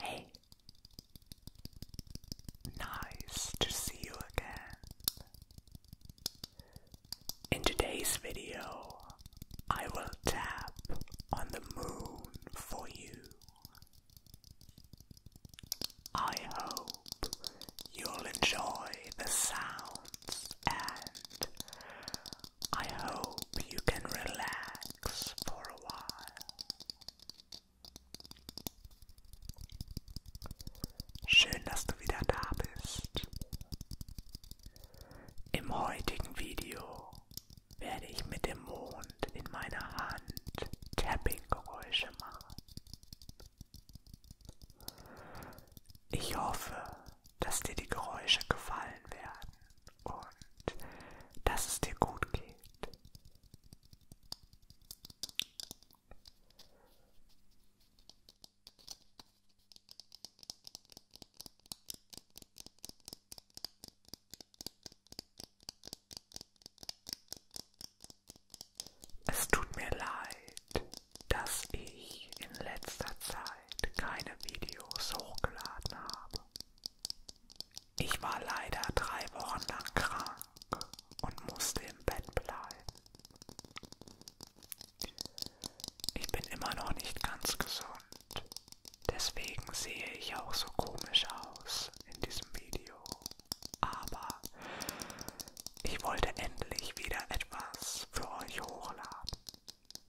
Hey, nice to see you again. In today's video, I will tap on the moon for you. I hope you'll enjoy the sounds and I hope you can relax for a while. Schön, dass du wieder da bist. Im heutigen Video werde ich mit dem Mond in meiner Hand Tapping-Geräusche machen. Ich hoffe, dass dir die Geräusche gefallen werden und dass es dir gut geht. Es tut mir leid, dass ich in letzter Zeit keine Videos hochgeladen habe. Ich war leider drei Wochen lang krank und musste im Bett bleiben. Ich bin immer noch nicht ganz gesund, deswegen sehe ich auch so komisch aus in diesem Video. Aber ich wollte endlich wieder etwas für euch hochladen.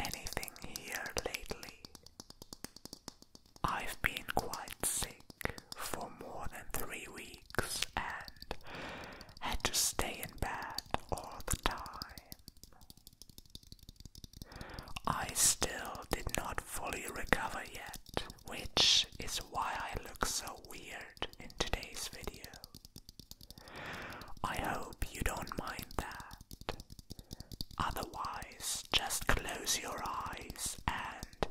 anything here lately. I've been quite sick for more than three weeks and had to stay in bed all the time. I still did not fully recover yet, which is why I look so weird in today's video. I hope you don't mind that. Otherwise, just close your eyes and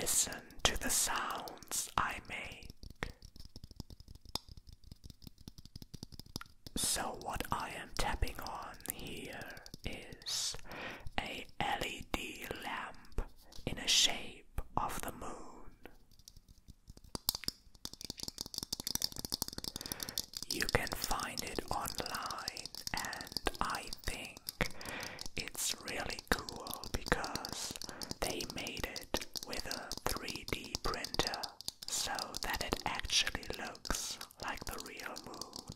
listen to the sounds I make. So, what I am tapping on here is a LED lamp in a shape of the moon. You can find it online, and I think it's really cool because they made it with a 3D printer so that it actually looks like the real moon.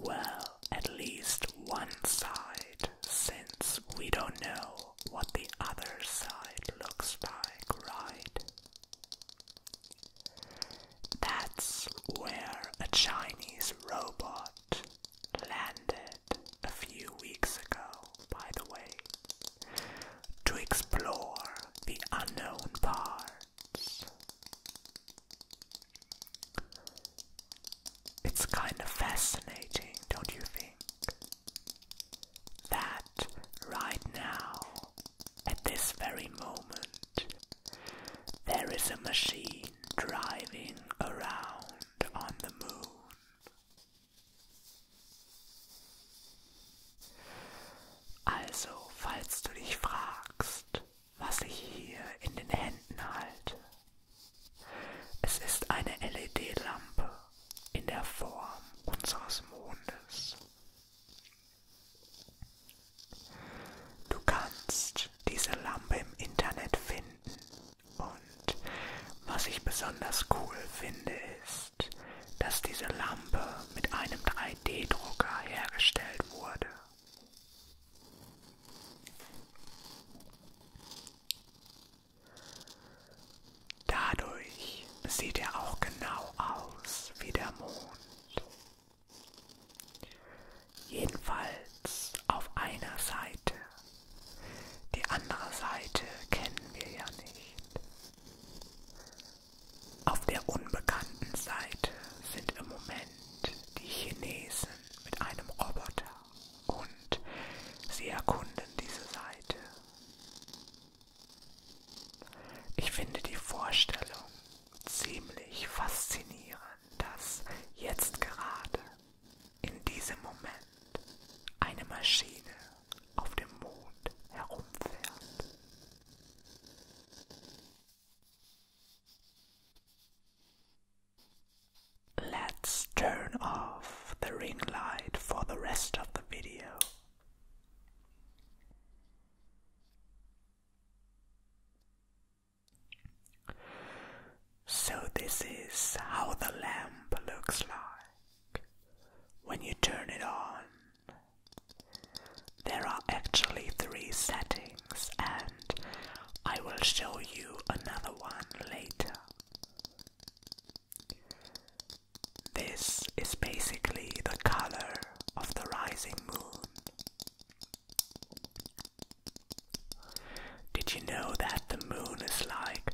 Well, at least one side, since we don't know what the other side looks like, right? That's where a Chinese robot landed a few weeks ago, by the way, to explore the unknown parts. It's kind of fascinating, don't you think? that right now, at this very moment, there is a machine driving around on the moon. Also, falls du dich fragst, was ich hier in den Händen halt, es ist eine LED-Lampe in der Form unseres Mondes. Du kannst diese Lampe im Internet finden und was ich besonders cool finde ist, dass diese Lampe mit einem 3D-Drucker hergestellt wurde. Dadurch sieht er auch genau aus wie der Mond. Jedenfalls auf einer Seite. Die andere Seite kennen wir ja nicht. Auf der unbekannten Seite sind im Moment die Chinesen mit einem Roboter und sie erkunden diese Seite. Ich finde die Vorstellung ziemlich faszinierend, dass jetzt gerade in diesem Moment eine Maschine auf dem Mond herumfährt. Let's turn off the ring light for the rest of the video. So, this is how the lamp looks like when you turn it on. There are actually three settings, and I will show you another one later. This is basically the color of the rising moon. Did you know that the moon is like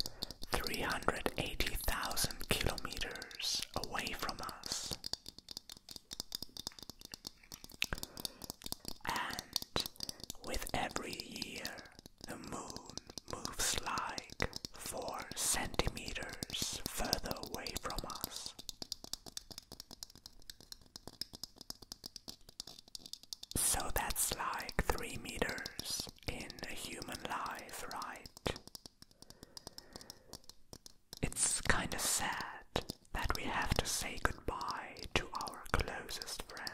380,000 kilometers away from us? And with every year, the moon moves like four centimeters further away from us. So that's like three meters in a human life, right? It's kinda sad that we have to say goodbye to our closest friend.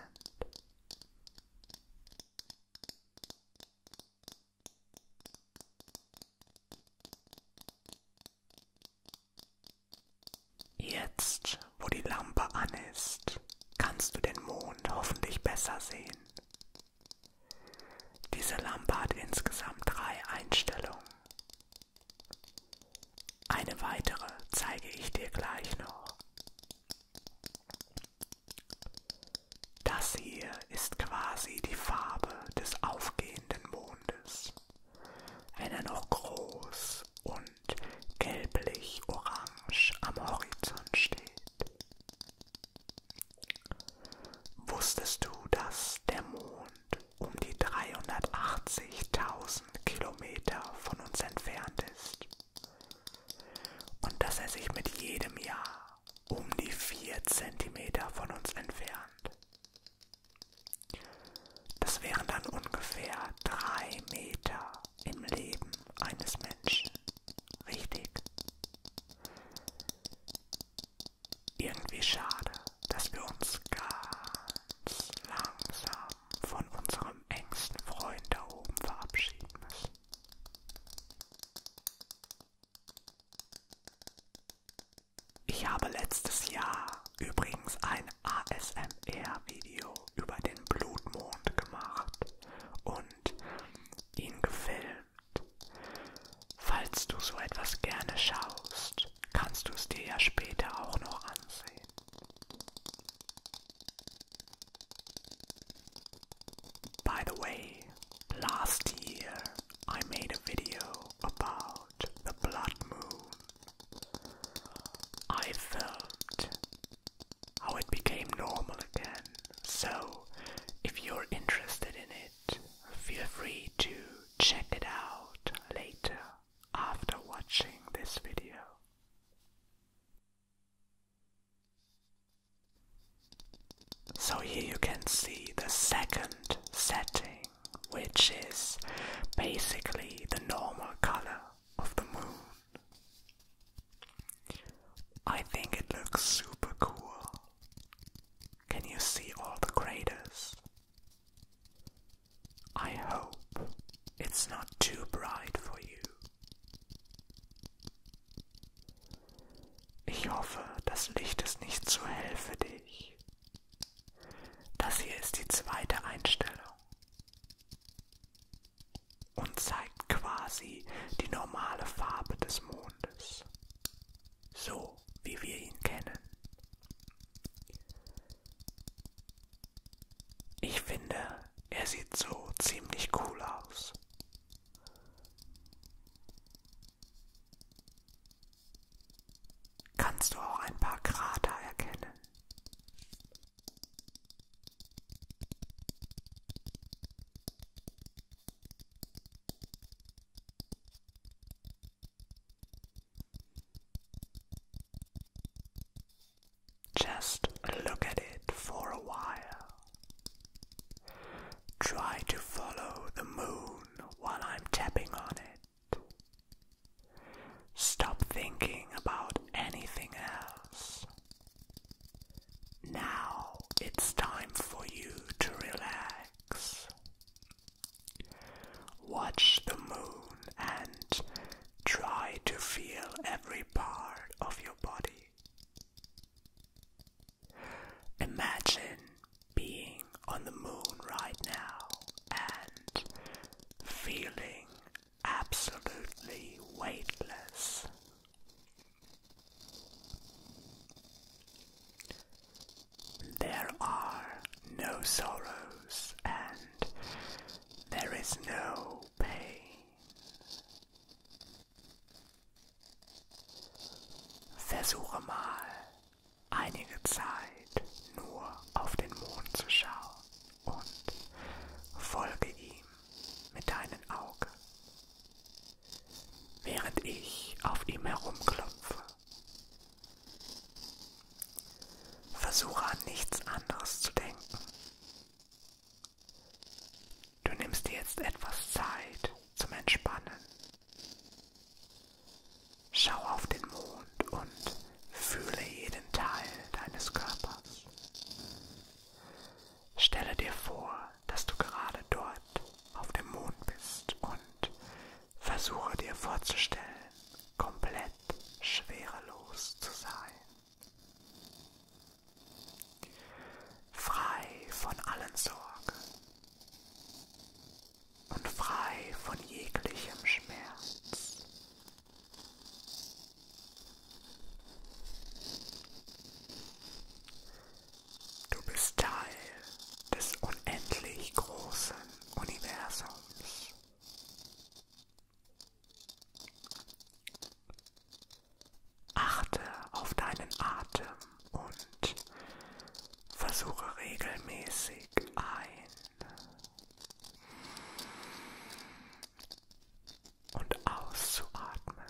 Jetzt, wo die Lampe an ist, kannst du den Mond hoffentlich besser sehen. Diese Lampe hat insgesamt drei Einstellungen. Eine weitere zeige ich dir gleich noch. Das hier ist quasi die Farbe des aufgehenden Mondes. Wenn er noch groß und gelblich-orange am Horizont steht. Wusstest du, dass der Mond um die 380.000 Kilometer von uns entfernt ist? und dass er sich mit jedem Jahr um die 4 cm von uns entfernt. Das wären dann ungefähr 3 Meter im Leben eines Menschen. Richtig. Irgendwie schade, dass wir uns ganz langsam von unserem engsten Freund da oben verabschieden müssen. Ich habe letztes Jahr übrigens ein ASMR-Video über den Blutmond gemacht und ihn gefilmt. Falls du so etwas gerne schaust, kannst du es dir ja später auch noch ansehen. By the way, last year I made a video about the blood moon. I filmed how it became normal again, so if you're interested in it, feel free to check it out later after watching this video. So here you can see the second setting, which is basically the normal color of the moon. I think it looks super cool. Can you see all the craters? I hope it's not too bright for you. Ich hoffe, das Licht ist nicht zu hell für dich. Das hier ist die zweite Einstellung und zeigt quasi die normale Farbe des Mondes, so wie wir ihn kennen. Ich finde, er sieht so ziemlich cool aus. Kannst du auch ein paar Krater erkennen? Just look at it for a while. Try to follow the moon while I'm tapping on it. Stop thinking about anything else. Now it's time for you to relax. Watch the moon and try to feel every part of your body. Imagine being on the moon right now and feeling absolutely weightless. There are no sorrows and there is no pain. Versuche mal einige Zeit nur auf den Mond zu schauen und folge ihm mit deinen Augen. Während ich auf ihm herumklopfe, versuche an nichts anderes zu denken Du nimmst dir jetzt etwas Zeit zum Entspannen. Schau auf den Mond und fühle jeden Teil deines Körpers. Stelle dir vor, dass du gerade dort auf dem Mond bist und versuche dir vorzustellen, komplett schwerelos zu sein frei von allen Sorgen und frei von jeglichem Schmerz. Du bist Teil des unendlich großen Universums. Achte auf deinen Atem und versuche regelmäßig ein und auszuatmen.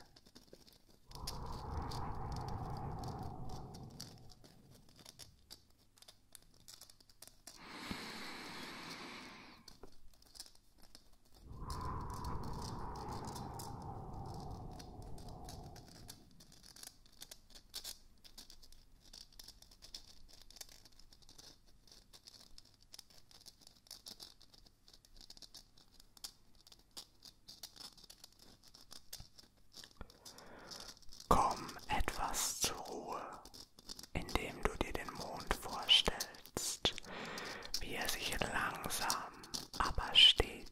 Komm etwas zur Ruhe, indem du dir den Mond vorstellst fühlst, wie er sich langsam, aber stetig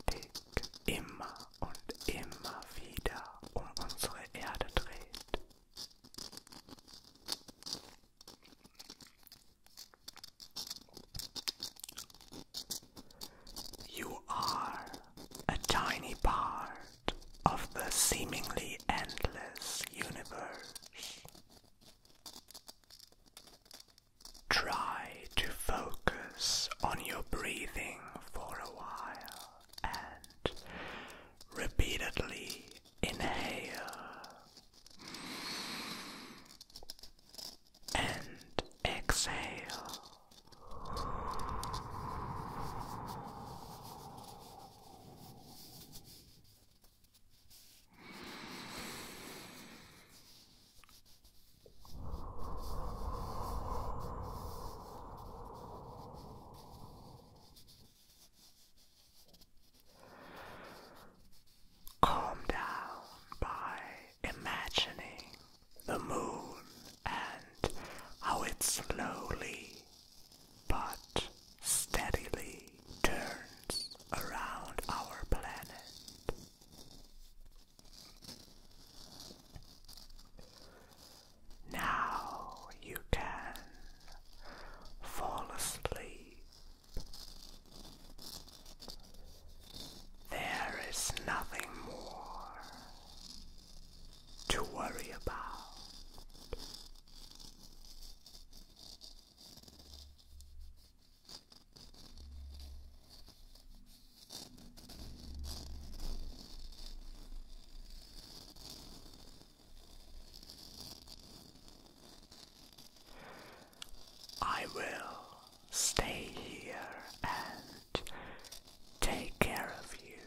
immer und immer wieder um unsere Erde dreht. You are a tiny part of the seemingly endless universe. Try to focus on your breathing for a while and repeatedly inhale and exhale. Calm down by imagining the moon and how it slowly but steadily turns around our planet. Now you can fall asleep. There is nothing more to worry about. I will stay here and take care of you.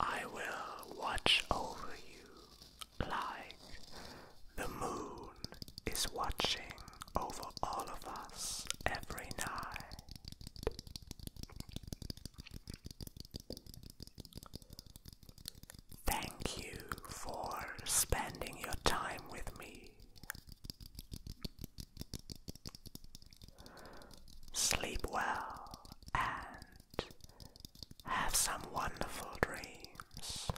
I will watch over you like the moon is watching over all of us every night. Thank you for spending your time with me. Sleep well and have some wonderful dreams.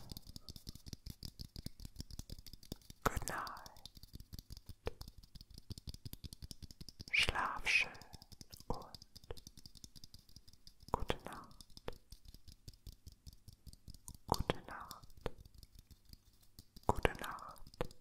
Good night. Schlaf schön und gute Nacht. Gute Nacht. Gute Nacht.